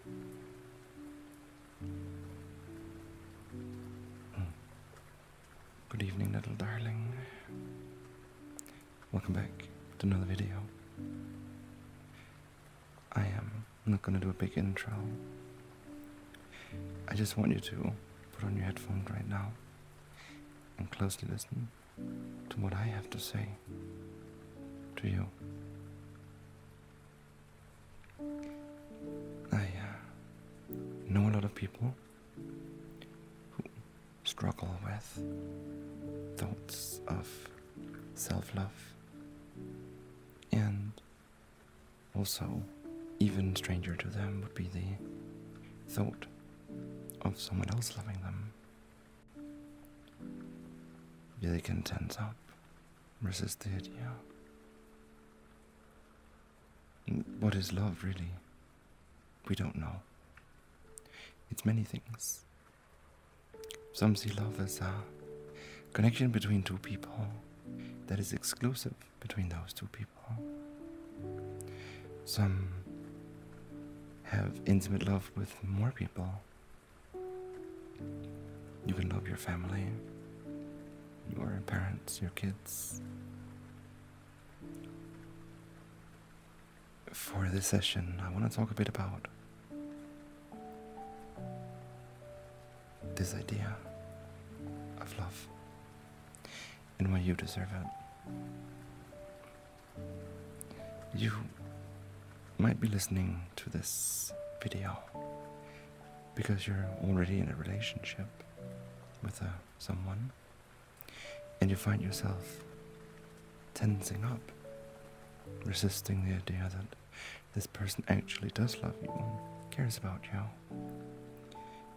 Mm. Good evening, little darling. Welcome back to another video. I am not gonna do a big intro. I just want you to put on your headphones right now and closely listen to what I have to say to you. I uh, know a lot of people who struggle with thoughts of self love and also even stranger to them would be the thought of someone else loving them really can tense up, resist the idea. What is love, really? We don't know. It's many things. Some see love as a connection between two people that is exclusive between those two people. Some have intimate love with more people. You can love your family, your parents, your kids. For this session, I want to talk a bit about this idea of love and why you deserve it. You might be listening to this video because you're already in a relationship with uh, someone and you find yourself tensing up, resisting the idea that this person actually does love you and cares about you.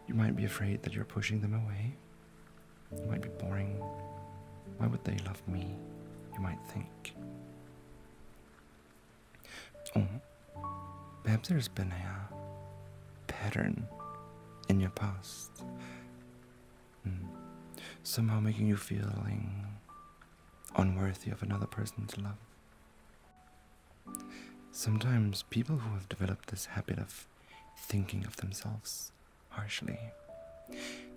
You might be afraid that you're pushing them away you might be boring. Why would they love me? You might think. Oh, perhaps there's been a uh, pattern in your past. Hmm. Somehow making you feeling unworthy of another person's love. Sometimes people who have developed this habit of thinking of themselves harshly.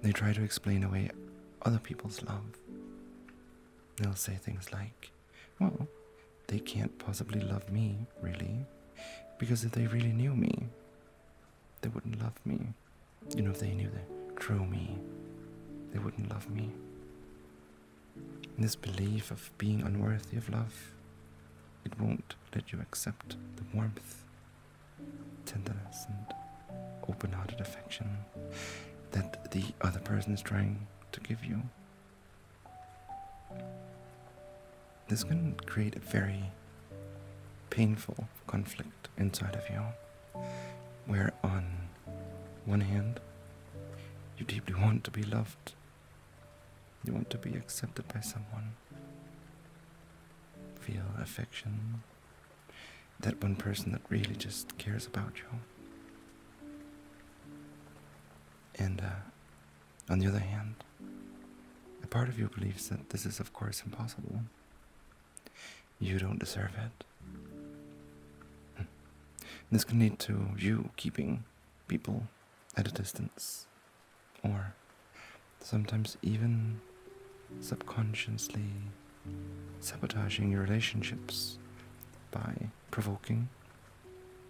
They try to explain away other people's love. They'll say things like, well, they can't possibly love me, really, because if they really knew me, they wouldn't love me. You know, if they knew the true me, they wouldn't love me. this belief of being unworthy of love, it won't let you accept the warmth tenderness and open hearted affection that the other person is trying to give you. This can create a very painful conflict inside of you, where on one hand, you deeply want to be loved, you want to be accepted by someone, feel affection. That one person that really just cares about you. And uh, on the other hand, a part of you believes that this is, of course, impossible. You don't deserve it. Hmm. This can lead to you keeping people at a distance or sometimes even subconsciously sabotaging your relationships by provoking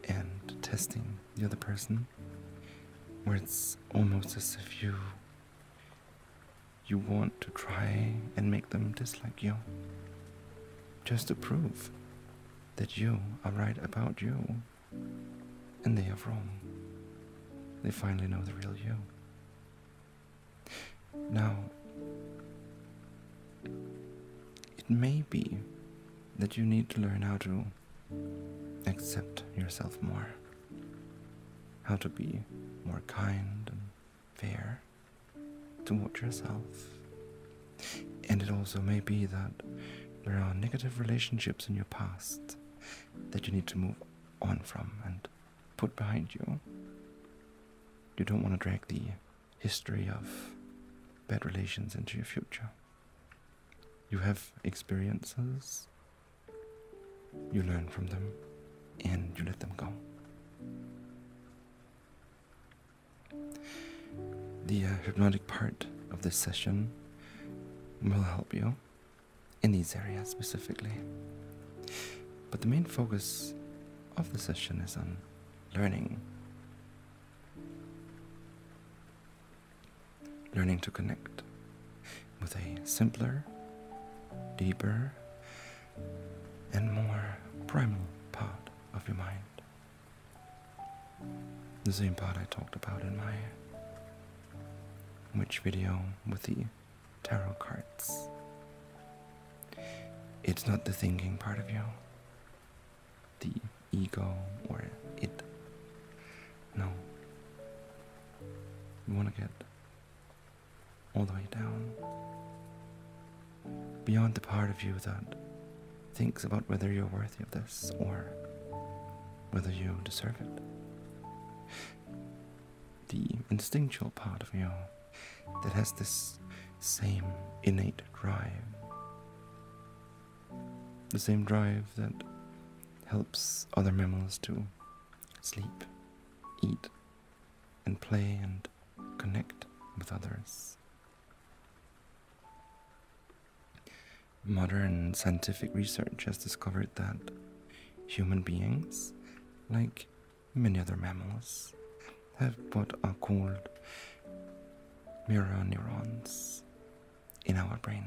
and testing the other person where it's almost as if you you want to try and make them dislike you just to prove that you are right about you and they have Rome. They finally know the real you. Now, it may be that you need to learn how to accept yourself more, how to be more kind and fair towards yourself. And it also may be that there are negative relationships in your past that you need to move on from and put behind you. You don't want to drag the history of bad relations into your future. You have experiences, you learn from them, and you let them go. The uh, hypnotic part of this session will help you in these areas specifically. But the main focus of the session is on learning. Learning to connect with a simpler, deeper, and more primal part of your mind. The same part I talked about in my which video with the tarot cards. It's not the thinking part of you, the ego or it. No. You want to get all the way down. Beyond the part of you that thinks about whether you're worthy of this or whether you deserve it. The instinctual part of you that has this same innate drive. The same drive that helps other mammals to sleep, eat, and play and connect with others modern scientific research has discovered that human beings, like many other mammals, have what are called mirror neurons in our brain,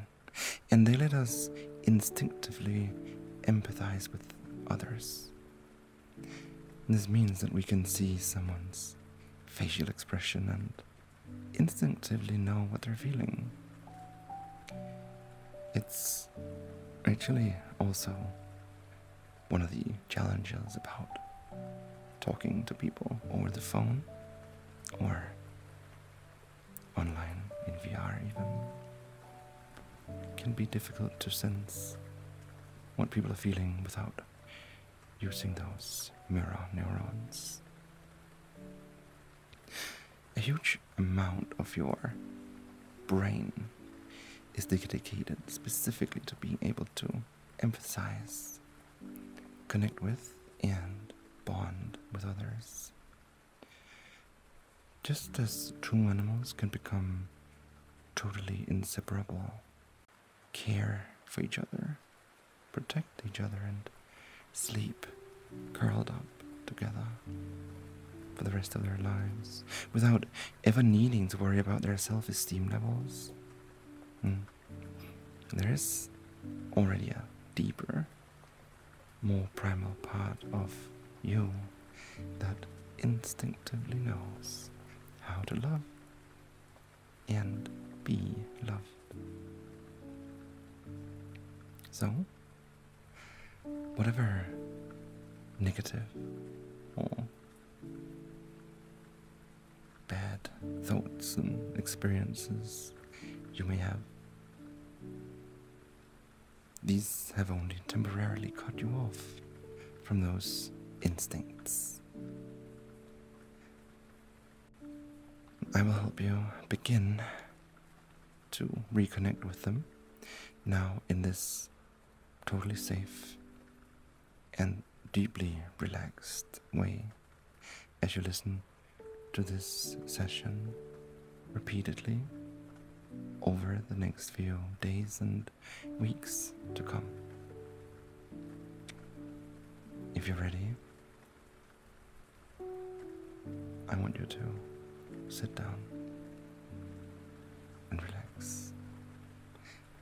and they let us instinctively empathize with others. This means that we can see someone's facial expression and instinctively know what they're feeling. It's actually also one of the challenges about talking to people over the phone or online in VR, even. can be difficult to sense what people are feeling without using those mirror neurons. A huge amount of your brain is dedicated specifically to being able to emphasize, connect with, and bond with others. Just as two animals can become totally inseparable, care for each other, protect each other, and sleep curled up together for the rest of their lives without ever needing to worry about their self esteem levels. Hmm. There is already a deeper, more primal part of you that instinctively knows how to love and be loved. So, whatever negative or bad thoughts and experiences you may have. These have only temporarily cut you off from those instincts. I will help you begin to reconnect with them now in this totally safe and deeply relaxed way as you listen to this session repeatedly over the next few days and weeks to come. If you're ready, I want you to sit down and relax,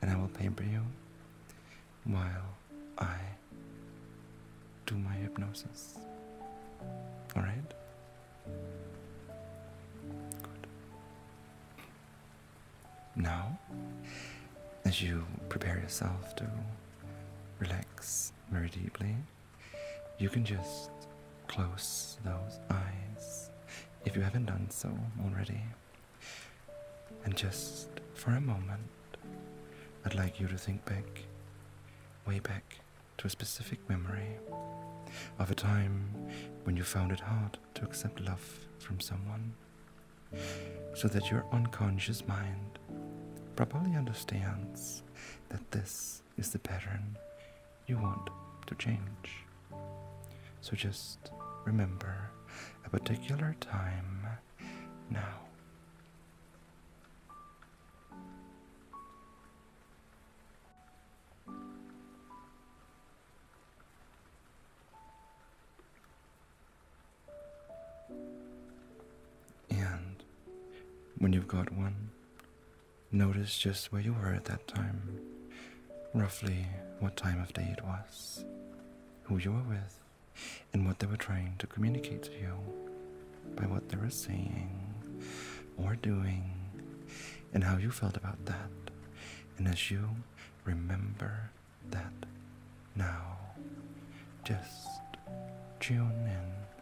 and I will pamper you while I do my hypnosis. Alright? Now, as you prepare yourself to relax very deeply, you can just close those eyes if you haven't done so already. And just for a moment, I'd like you to think back, way back to a specific memory of a time when you found it hard to accept love from someone, so that your unconscious mind properly understands that this is the pattern you want to change. So just remember a particular time now. And when you've got one, Notice just where you were at that time, roughly what time of day it was, who you were with, and what they were trying to communicate to you by what they were saying or doing, and how you felt about that. And as you remember that now, just tune in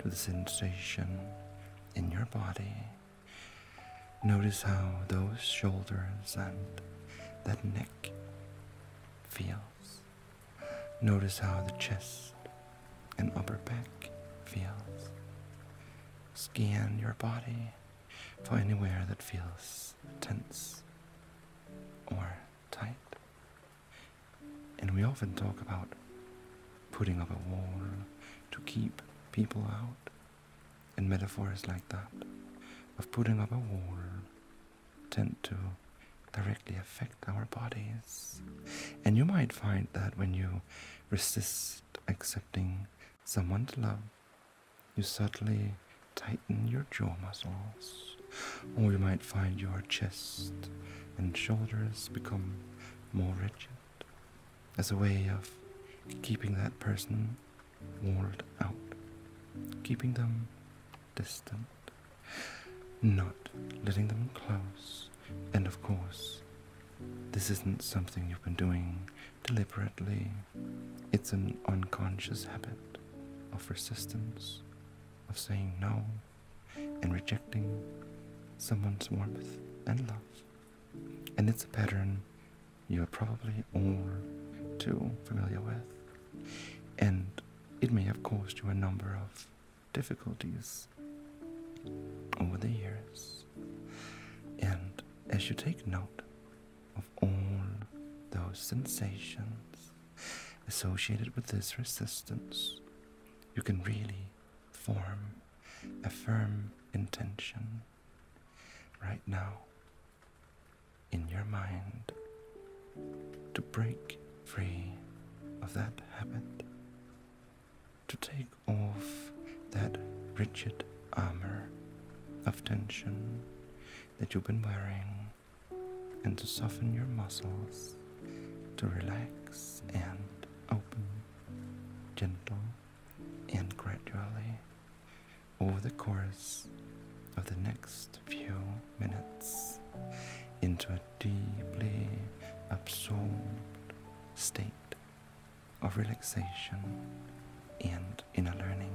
to the sensation in your body. Notice how those shoulders and that neck feels. Notice how the chest and upper back feels. Scan your body for anywhere that feels tense or tight. And we often talk about putting up a wall to keep people out, and metaphors like that of putting up a wall tend to directly affect our bodies. And you might find that when you resist accepting someone to love, you subtly tighten your jaw muscles, or you might find your chest and shoulders become more rigid as a way of keeping that person walled out, keeping them distant, not letting them close. And of course, this isn't something you've been doing deliberately, it's an unconscious habit of resistance, of saying no and rejecting someone's warmth and love. And it's a pattern you are probably all too familiar with. And it may have caused you a number of difficulties over the years. And as you take note of all those sensations associated with this resistance, you can really form a firm intention right now in your mind to break free of that habit, to take off that rigid armor of tension that you've been wearing, and to soften your muscles to relax and open, gentle and gradually over the course of the next few minutes into a deeply absorbed state of relaxation and inner learning.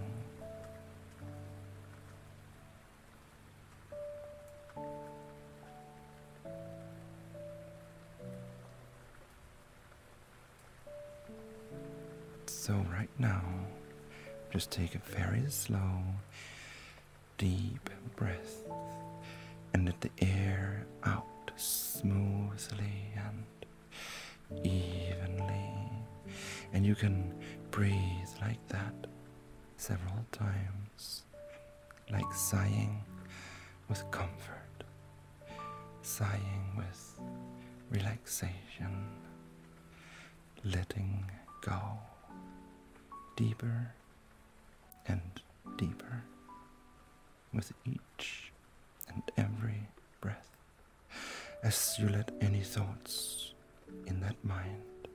So right now, just take a very slow, deep breath and let the air out smoothly and evenly. And you can breathe like that several times like sighing with comfort, sighing with relaxation, letting go deeper and deeper with each and every breath as you let any thoughts in that mind,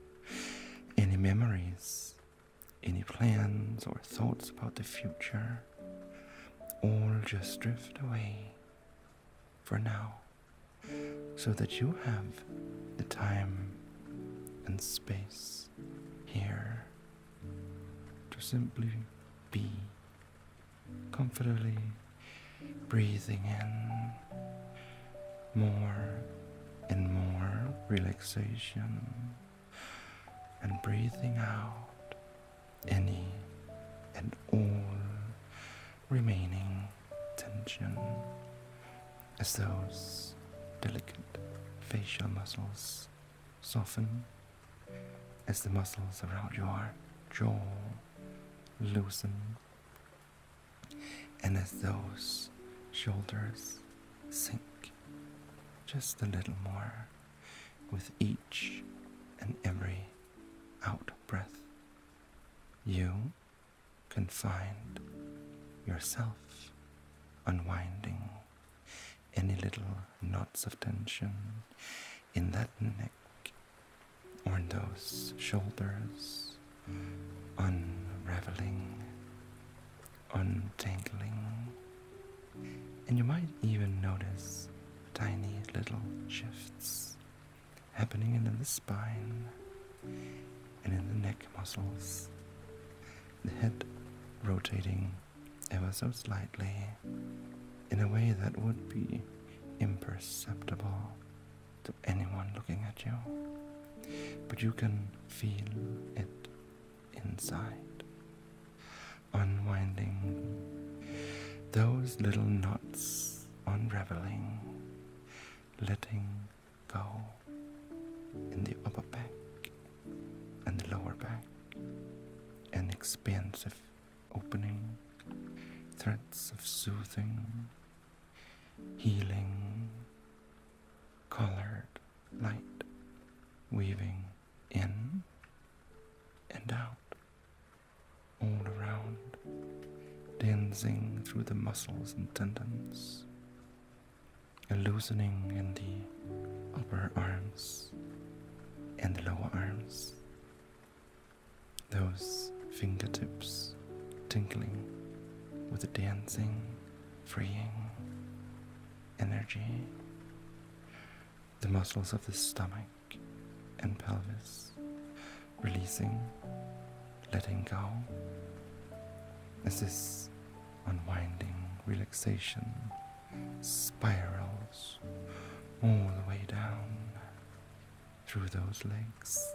any memories any plans or thoughts about the future all just drift away for now so that you have the time and space here to simply be comfortably breathing in more and more relaxation and breathing out any and all remaining tension as those delicate facial muscles soften, as the muscles around your jaw loosen, and as those shoulders sink just a little more with each and every out breath. You can find yourself unwinding any little knots of tension in that neck or in those shoulders, unraveling untangling, and you might even notice tiny little shifts happening in the spine and in the neck muscles, the head rotating ever so slightly in a way that would be imperceptible to anyone looking at you. But you can feel it inside, unwinding those little knots, unraveling, letting go in the upper back and the lower back, an expansive opening, threads of soothing, healing, colored light weaving in and out, all around, dancing through the muscles and tendons, a loosening in the upper arms and the lower arms, those fingertips tinkling with the dancing, freeing, energy, the muscles of the stomach and pelvis releasing, letting go. As this unwinding relaxation spirals all the way down through those legs,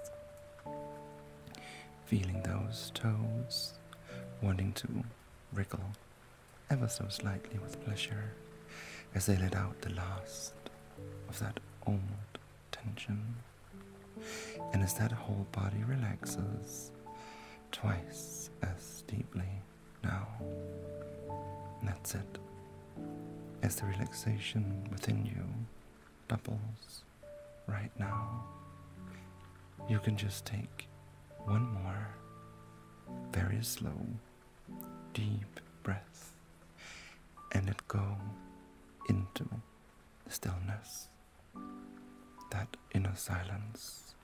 feeling those toes, wanting to wriggle ever so slightly with pleasure as they let out the last of that old tension. And as that whole body relaxes twice as deeply now, that's it. As the relaxation within you doubles right now, you can just take one more very slow, deep breath and let go into the stillness, that inner silence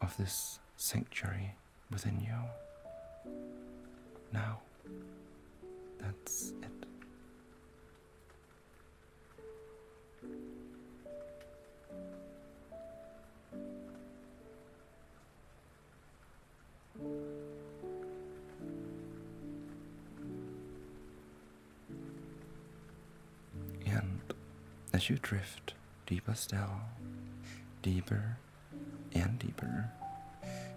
of this sanctuary within you. Now, that's it. And as you drift deeper still, deeper and deeper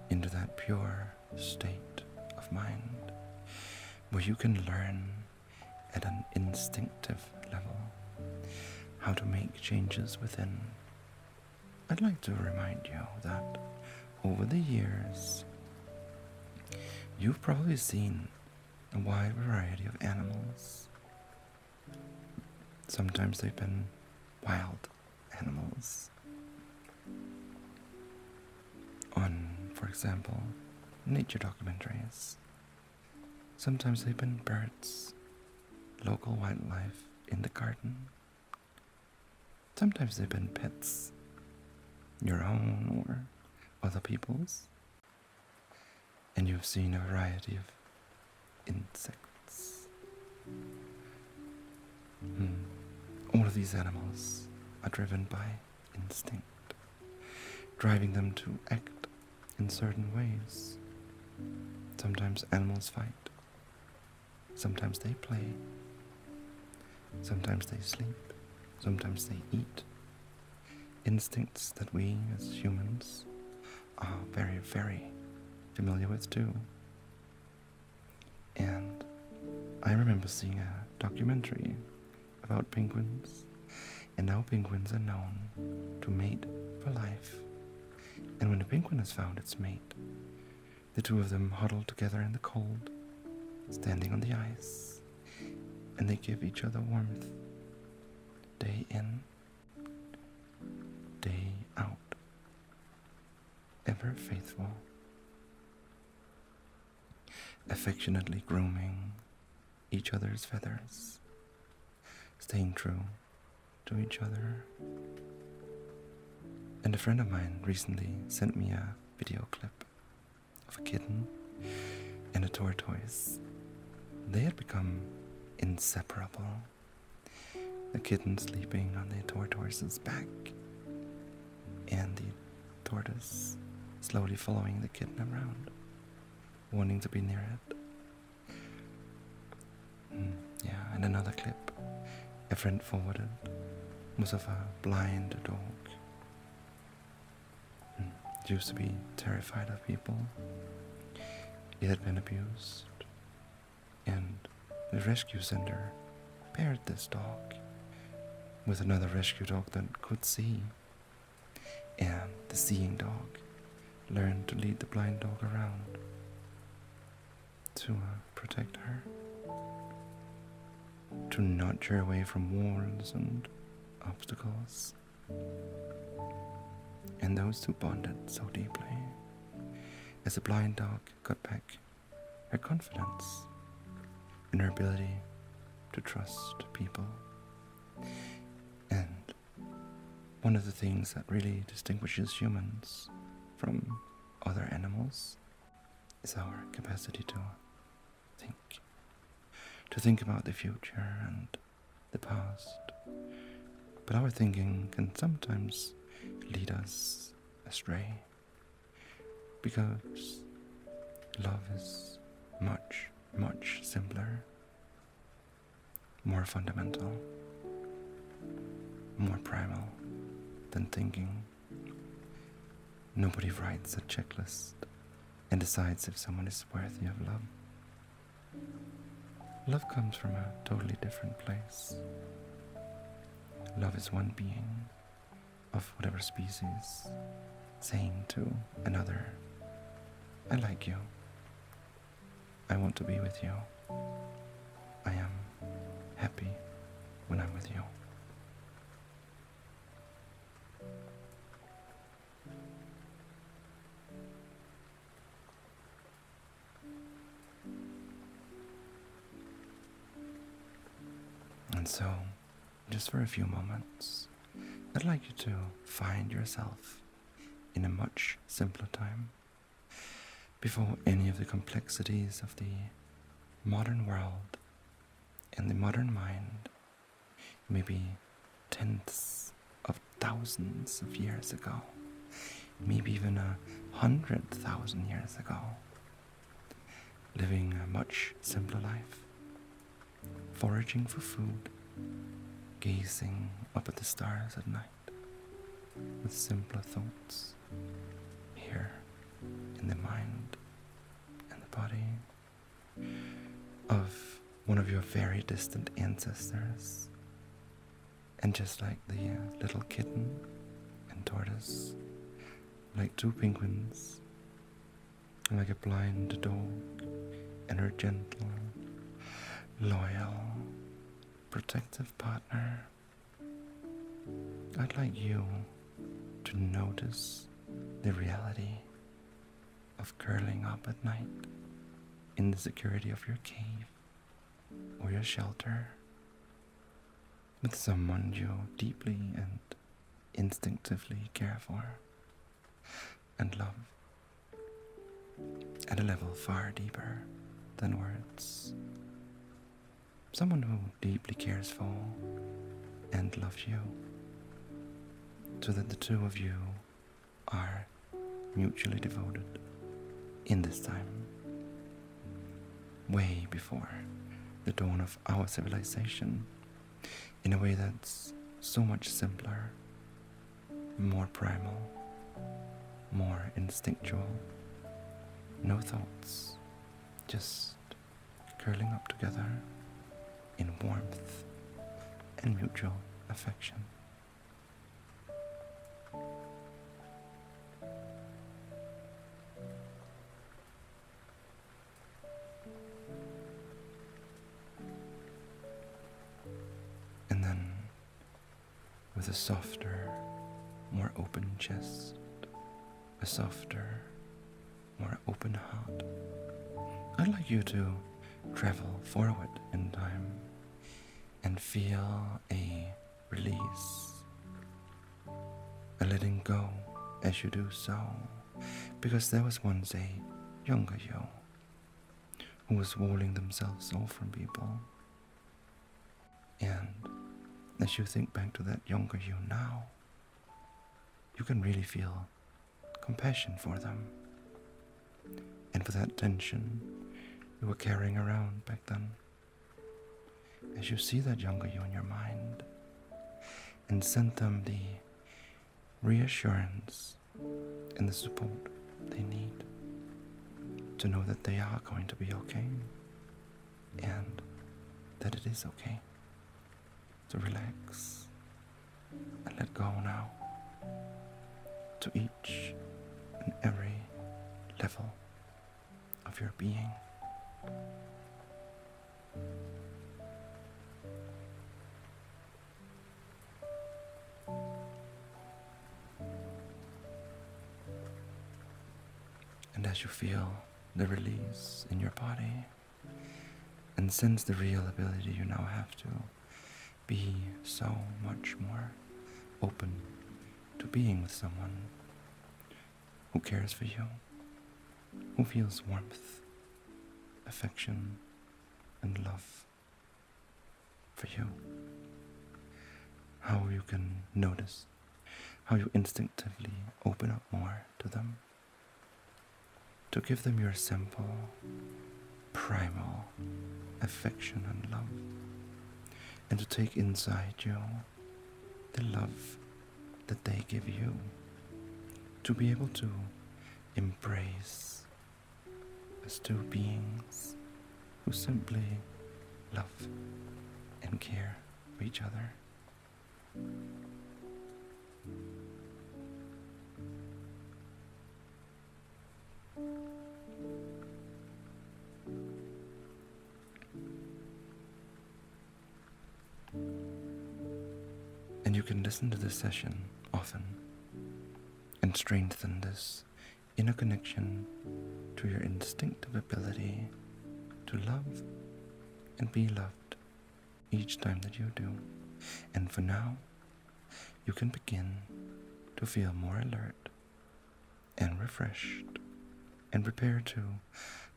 into that pure state of mind where you can learn at an instinctive level, how to make changes within. I'd like to remind you that over the years, you've probably seen a wide variety of animals. Sometimes they've been wild animals. On, for example, nature documentaries, Sometimes they've been birds, local wildlife in the garden. Sometimes they've been pets, your own or other people's. And you've seen a variety of insects. Hmm. All of these animals are driven by instinct driving them to act in certain ways. Sometimes animals fight, sometimes they play, sometimes they sleep, sometimes they eat. Instincts that we as humans are very, very familiar with too. And I remember seeing a documentary about penguins, and now penguins are known to mate for life. And when a penguin has found its mate, the two of them huddle together in the cold, standing on the ice, and they give each other warmth day in, day out, ever faithful, affectionately grooming each other's feathers, staying true to each other. And a friend of mine recently sent me a video clip of a kitten and a tortoise. They had become inseparable. The kitten sleeping on the tortoise's back, and the tortoise slowly following the kitten around wanting to be near it. Mm, yeah, and another clip a friend forwarded was of a blind dog. Mm, used to be terrified of people. It had been abused, and the rescue center paired this dog with another rescue dog that could see and the seeing dog learned to lead the blind dog around to uh, protect her, to nudge her away from walls and obstacles. And those two bonded so deeply. As the blind dog got back her confidence in her ability to trust people, and one of the things that really distinguishes humans from other animals is our capacity to think, to think about the future and the past. But our thinking can sometimes lead us astray because love is much, much simpler more fundamental, more primal than thinking. Nobody writes a checklist and decides if someone is worthy of love. Love comes from a totally different place. Love is one being of whatever species saying to another, I like you. I want to be with you. I am happy when I'm with you. And so just for a few moments, I'd like you to find yourself in a much simpler time before any of the complexities of the modern world and the modern mind maybe tens of thousands of years ago, maybe even a hundred thousand years ago, living a much simpler life, foraging for food, gazing up at the stars at night with simpler thoughts here in the mind and the body of one of your very distant ancestors. And just like the uh, little kitten and tortoise, like two penguins like a blind dog, and her gentle, loyal, protective partner. I'd like you to notice the reality of curling up at night in the security of your cave or your shelter with someone you deeply and instinctively care for and love at a level far deeper than words. Someone who deeply cares for and loves you, so that the two of you are mutually devoted in this time, way before the dawn of our civilization in a way that's so much simpler, more primal, more instinctual. No thoughts, just curling up together in warmth and mutual affection. And then, with a softer, more open chest, a softer, more open heart, I'd like you to travel forward in time and feel a release, a letting go as you do so, because there was once a younger you who was walling themselves off from people. And as you think back to that younger you now, you can really feel compassion for them and for that tension you were carrying around back then. As you see that younger you in your mind and send them the reassurance and the support they need to know that they are going to be okay and that it is okay to relax and let go now to each and every level of your being. And as you feel the release in your body and sense the real ability you now have to be so much more open to being with someone who cares for you, who feels warmth, affection, and love for you. How you can notice, how you instinctively open up more to them, to give them your simple, primal affection and love, and to take inside you the love that they give you, to be able to embrace as two beings who simply love and care for each other. And you can listen to this session often and strengthen this inner connection to your instinctive ability to love and be loved each time that you do. And for now, you can begin to feel more alert and refreshed and prepared to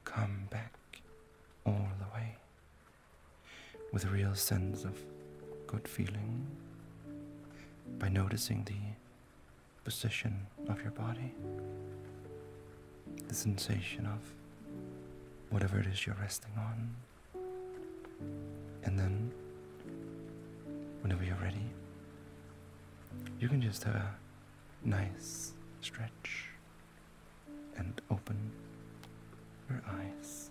come back all the way with a real sense of good feeling by noticing the position of your body, the sensation of whatever it is you're resting on, and then whenever you're ready, you can just have a nice stretch and open your eyes.